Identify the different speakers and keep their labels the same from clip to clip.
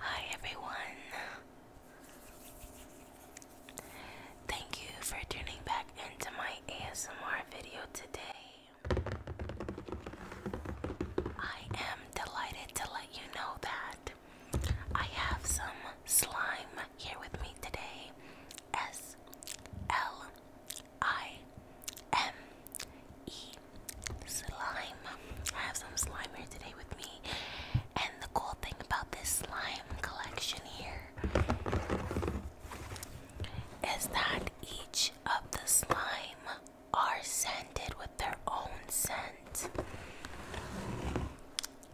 Speaker 1: Hi everyone. Thank you for tuning back into my ASMR video today. I am delighted to let you know that I have some slime here with me today. S L I M eat slime. I have some slime here today with me. And the cool thing about this slime collection here is that each of the slime are scented with their own scent.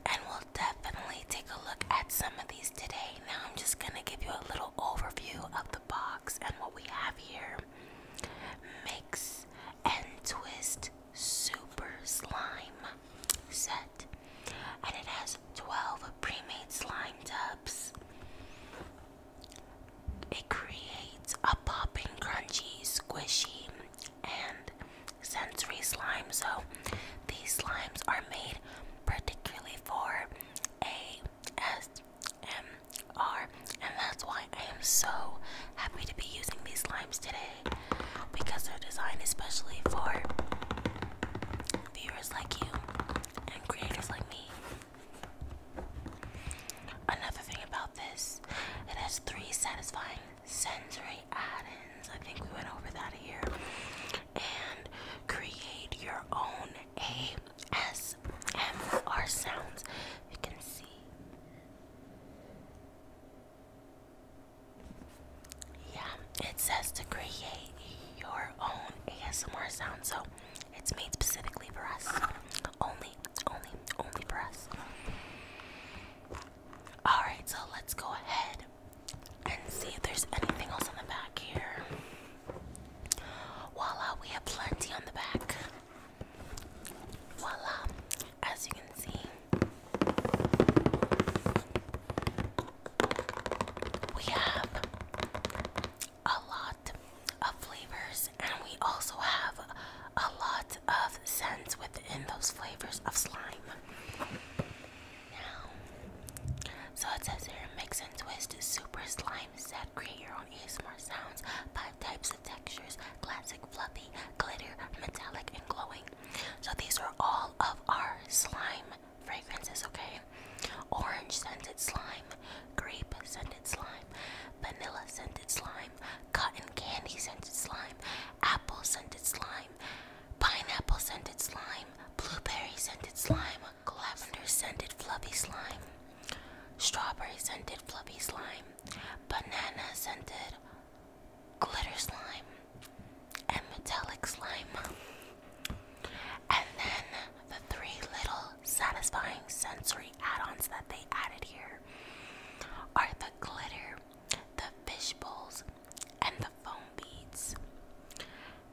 Speaker 1: And we'll definitely take a look at some of these today. Now I'm just gonna give you a little overview of the box and what we have here makes and twist super slime set and it has 12 pre-made slime tubs it creates a popping crunchy squishy and sensory slime so these slimes are made particularly for a s m are, and that's why I am so happy to be using these slimes today because they're designed especially for viewers like you and creators like me. Another thing about this, it has three satisfying sensory add-ins. I think we went over that here. And create your own AS. ASMR sounds. You can see. Yeah, it says to create your own ASMR sound, so it's made specifically for us. Only, only, only for us. Alright, so let's go ahead and see if there's anything else on the back here. Voila, we have plenty on the back. Voila, as you can see, we have a lot of flavors, and we also have a lot of scents within those flavors of slime. Now, so it says here mix and twist super slime set, create on ASMR sounds, five types of textures, classic, fluffy, glitter, metallic, and glowing. So these are all of our slime fragrances, okay? Orange scented slime, grape scented slime, vanilla scented slime, cotton candy scented slime, apple scented slime, pineapple scented slime, blueberry scented slime, lavender scented fluffy slime strawberry scented fluffy slime, banana scented glitter slime, and metallic slime. And then the three little satisfying sensory add ons that they added here are the glitter, the fish bowls, and the foam beads.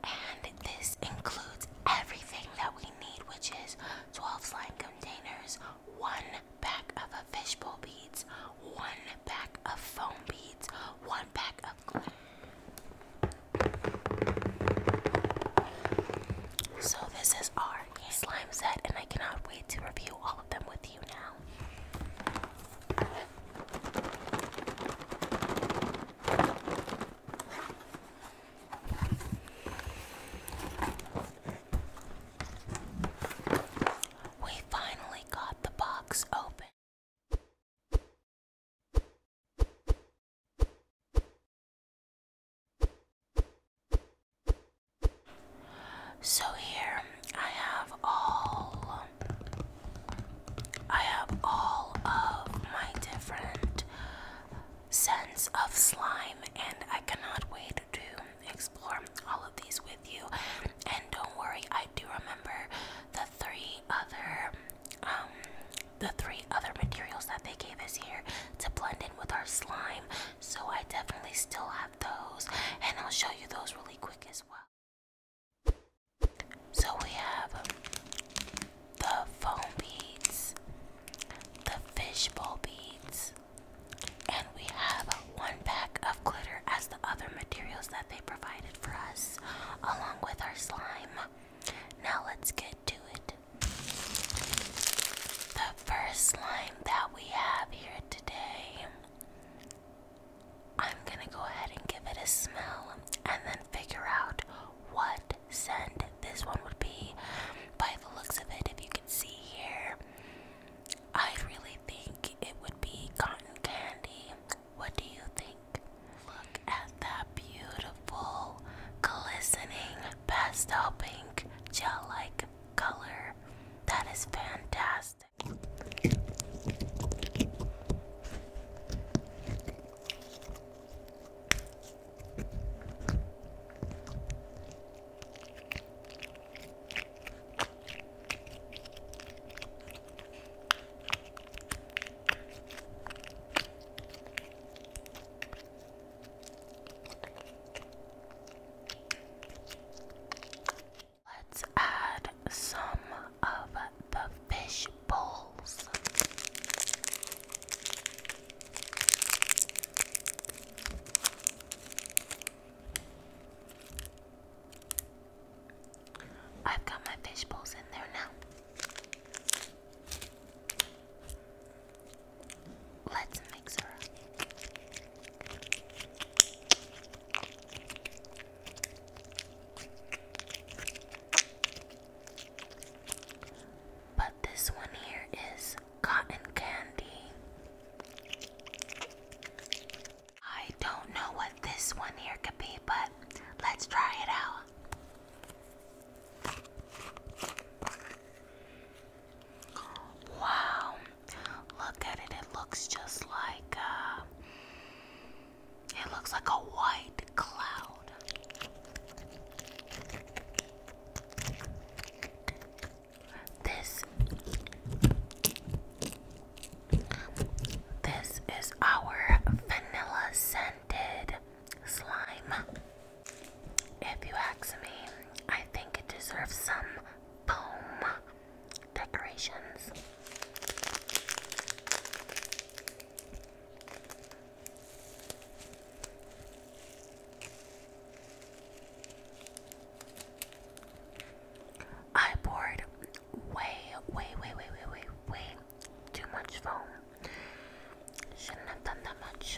Speaker 1: And this includes everything that we need, which is 12 slime containers, one pack of a fishbowl beads, one pack of foam beads, one pack of glue. So this is our slime set and I cannot wait to review all of them with you now. We finally got the box open. So here I have all I have all of my different sense of slime, and I cannot wait to explore all of these with you. And don't worry, I do remember the three other um the three other materials that they gave us here to blend in with our slime. So I definitely still have those, and I'll show you those really quick as well. So we have the foam beads, the fishbowl beads, and we have one pack of glitter as the other materials that they provided for us, along with our slime. Now let's get to it. The first slime that we have here today, I'm gonna go ahead and give it a smell and then figure out what send. This one would be, by the looks of it, if you can see here, I really think it would be cotton candy. What do you think? Look at that beautiful, glistening pastel pink gel like color. That is fantastic. Let's add some of the fish bowls. I've got my fish bowls in there now. Let's mix her up. But this one here is cotton candy. I don't know what this one here could be, but let's try it out. Wow, look at it. It looks just like uh, it looks like a white cloud. This This is our vanilla scented slime. If you ask me, I think it deserves some foam decorations. I poured way, way, way, way, way, way, way too much foam. Shouldn't have done that much.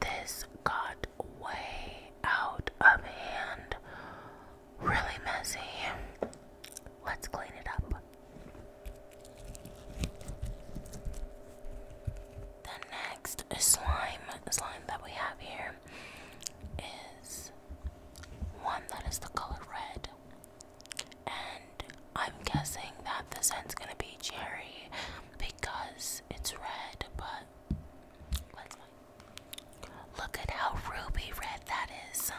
Speaker 1: This got way out of hand. Really messy. Let's clean it up. The next slime, slime that we have here is one that is the color red. I'm guessing that the scent's gonna be cherry because it's red, but look at how ruby red that is.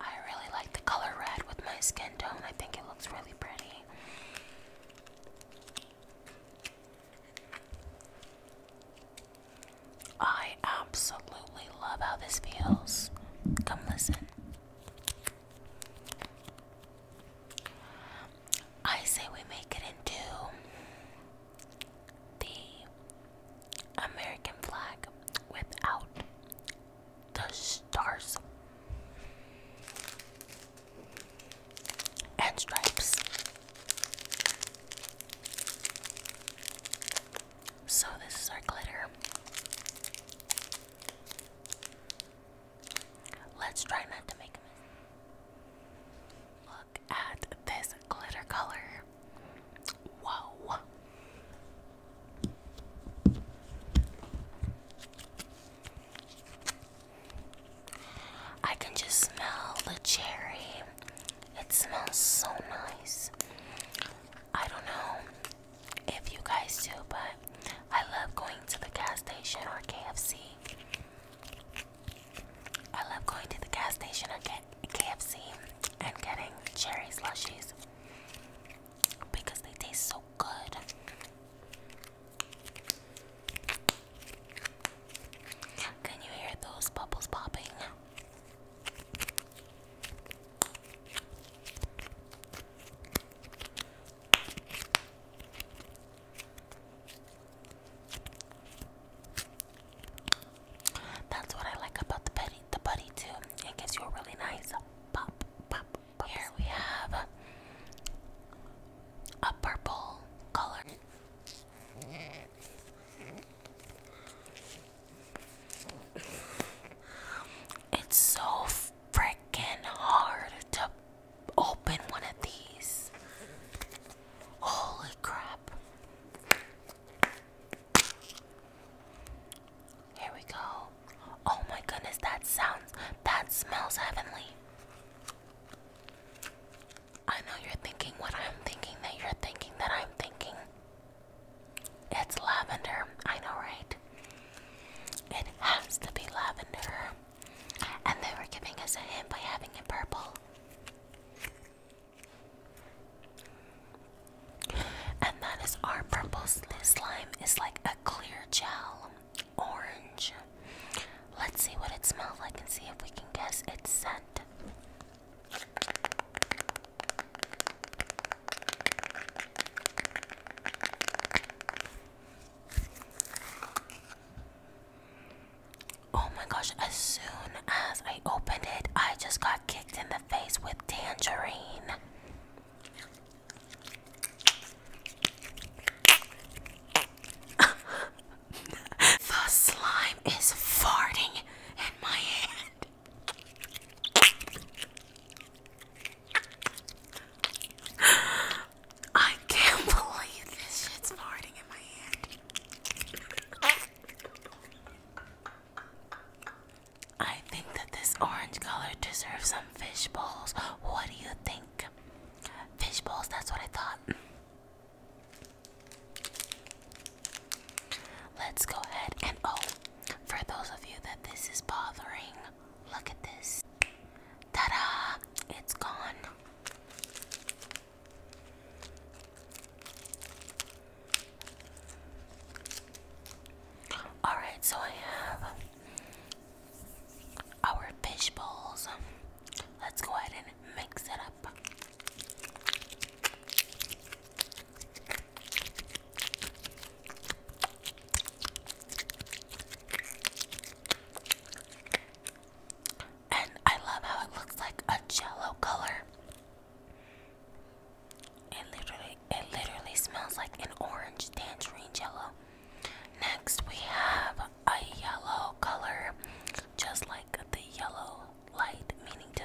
Speaker 1: I really like the color red with my skin tone, I think it looks really pretty. I absolutely love how this feels. Come listen. I say we make it into the American flag without the stars and stripes. So, this is our glitter. Let's try not to make a mess. Look at this glitter color. Whoa. I can just smell the cherry. It smells so nice. I don't know if you guys do, but I love going to the gas station or KFC. I love going to the gas station or KFC and getting cherry slushies because they taste so good. Can you hear those bubbles popping? That's what I like about the buddy, the buddy too. It gives you a really nice pop, pop, pop. Here we have a purple color. It's so freaking hard to open one of these. Holy crap. Here we go. Oh my goodness, that sounds, that smells heavenly. I know you're thinking what I'm thinking, that you're thinking, that I'm thinking. It's lavender. I know, right? It has to be lavender. And they were giving us a hint by having it purple. And that is our purple slime is like a clear gel, orange. Let's see what it smells like and see if we can guess its scent. Oh my gosh, as soon as I opened it, I just got kicked in the face with tangerine. the slime is farting in my hand. I can't believe this shit's farting in my hand. I think that this orange color deserves some fish bowls. What do you think? Fish bowls, that's what I thought. Let's go ahead and oh, for those of you that this is bothering, look at this. Ta da! It's gone. Alright, so I have our fish bowls. Let's go ahead and mix it up. And I love how it looks like a jello color. It literally it literally smells like an orange tangerine jello. Next we have a yellow color just like the yellow light, meaning to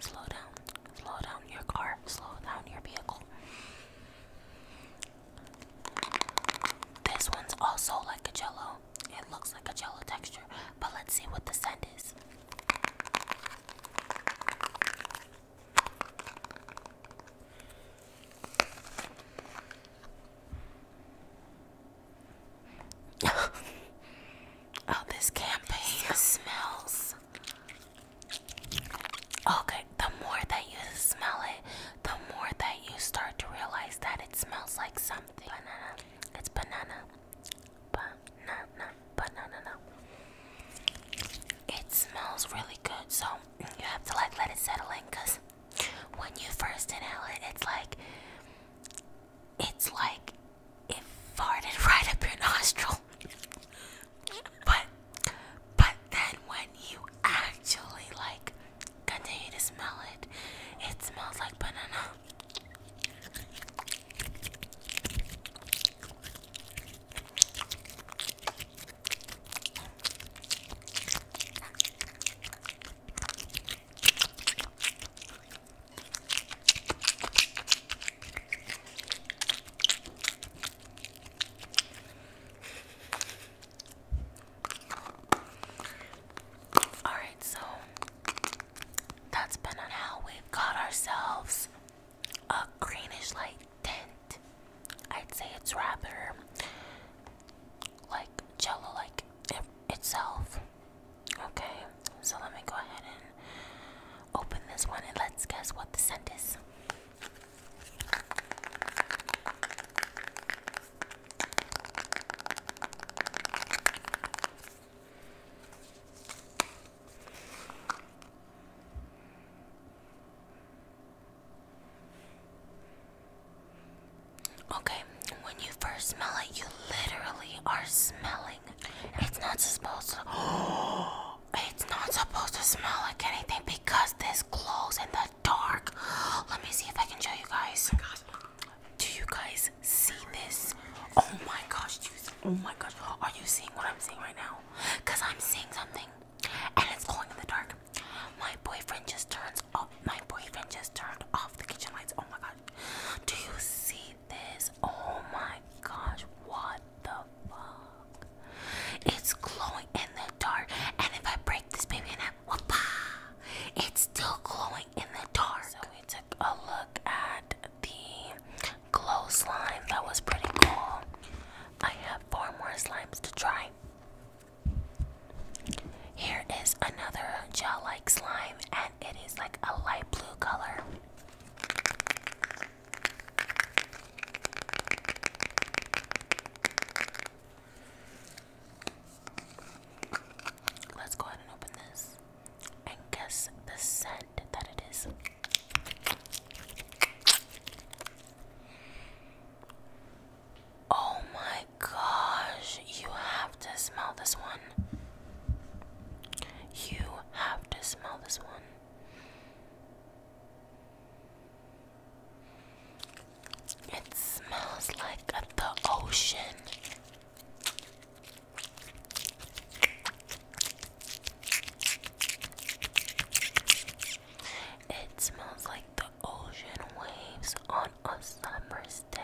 Speaker 1: slow down, slow down your car, slow down your vehicle. This one's also like a jello. It looks like a jello texture, but let's see what the scent is. Oh, this campaign smells. Okay, the more that you smell it, the more that you start to realize that it smells like something. Banana. It's banana. Banana. Banana. It smells really good, so you have to like let it settle in because when you first inhale it, it's like it's like it farted right up your nostril. but but then when you actually like continue to smell it, it smells like banana. All right, so that's been how we got ourselves a greenish light tint. I'd say it's rather like jello like itself. Okay, so let me go ahead and open this one and let's guess what the scent is. Okay, when you first smell it, you literally are smelling it's not supposed to. It's not supposed to smell like anything because this glows in the dark. Let me see if I can show you guys. Do you guys see this? Oh my gosh! oh my gosh! Are you seeing what I'm seeing right now? Cause I'm seeing something, and it's glowing in the dark. My boyfriend just turns off. Oh, my boyfriend just turned off the kitchen lights. Oh my god! Do you see this. Oh my gosh, what the fuck? It's glowing in the dark. And if I break this baby in half, whoop, it's still glowing in the dark. So we took a look at the glow slime. That was pretty cool. I have four more slimes to try. Here is another gel like slime and it is like a light blue color. Let's go ahead and open this and guess the scent that it is. Oh my gosh, you have have to smell this one. You have to smell this one. It smells like the ocean. It smells like the ocean waves on a summer's day.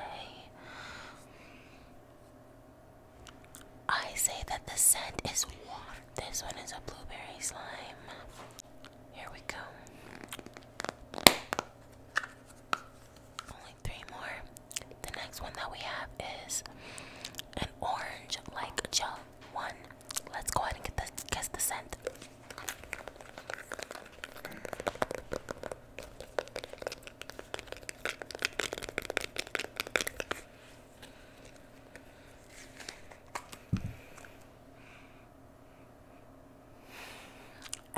Speaker 1: I say that the scent is water. This one is a blueberry slime. Here we go. Only three more. The next one that we have is an orange like gel one. Let's go ahead and get the guess the scent.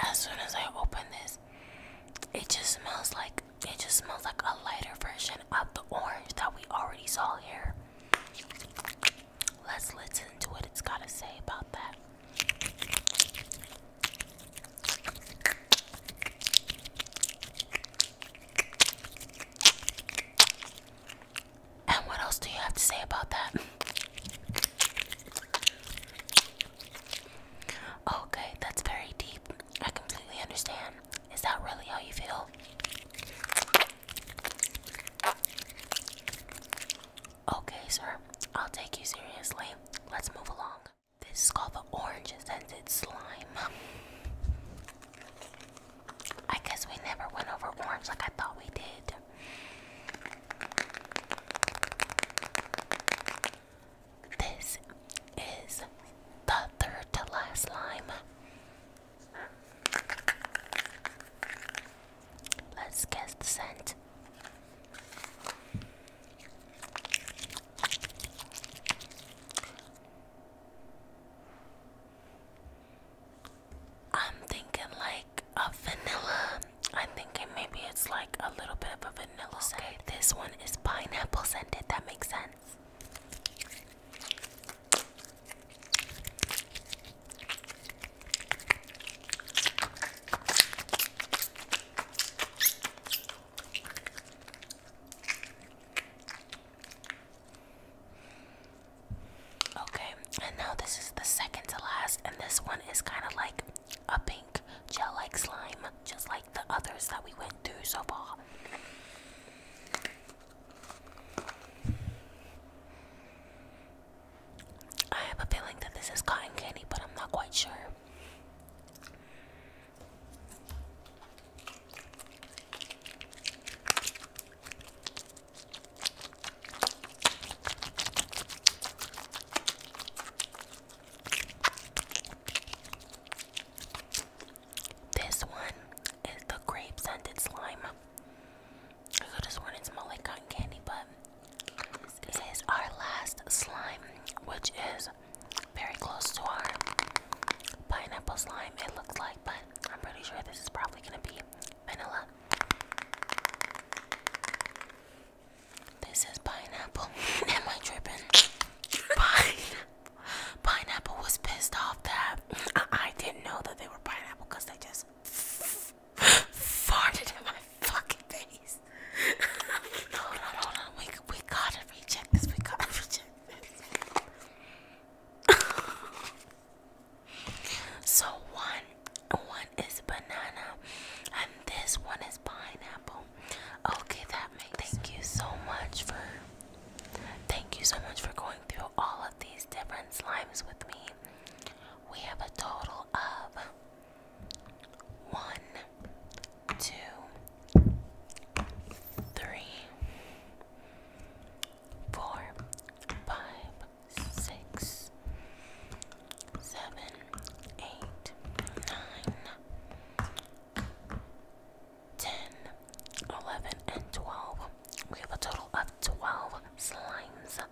Speaker 1: As soon as I open this, it just smells like it just smells like a lighter version of the orange that we already saw here. Let's listen to what it's got to say about that. And what else do you have to say about that? Okay, oh, that's very deep. I completely understand. Is that really how you feel? Okay, sir. I'll take you seriously. Let's move along. This is called the orange scented slime. I guess we never went over orange like I thought we did. This is the third to last slime. Let's guess the scent. I'm thinking like a vanilla. I'm thinking maybe it's like a little bit of a vanilla okay, scent. This one is pineapple scented. That makes sense. Okay, and now this is the second to last, and this one is kind of like a pink gel like slime, just like the others that we went through so far. I have a feeling that this is cotton candy, but I'm not quite sure. This one is the grape scented slime. I could have sworn smelled like cotton candy, but this is our last slime, which is very close to our pineapple slime, it looks like, but I'm pretty sure this is probably gonna be vanilla. This is pineapple. Am I tripping? Pineapple was pissed off that I didn't know that they were pineapple because they just farted in my fucking face. hold on, hold on. We, we gotta recheck this. We gotta recheck this. so one, one is banana, and this one is pineapple. Okay, that makes. Thank you so much for. Thank you so much for going through all of these different slimes with me. We have a total of one, two, three, four, five, six, seven, eight, nine, ten, eleven, and twelve. We have a total of twelve slimes.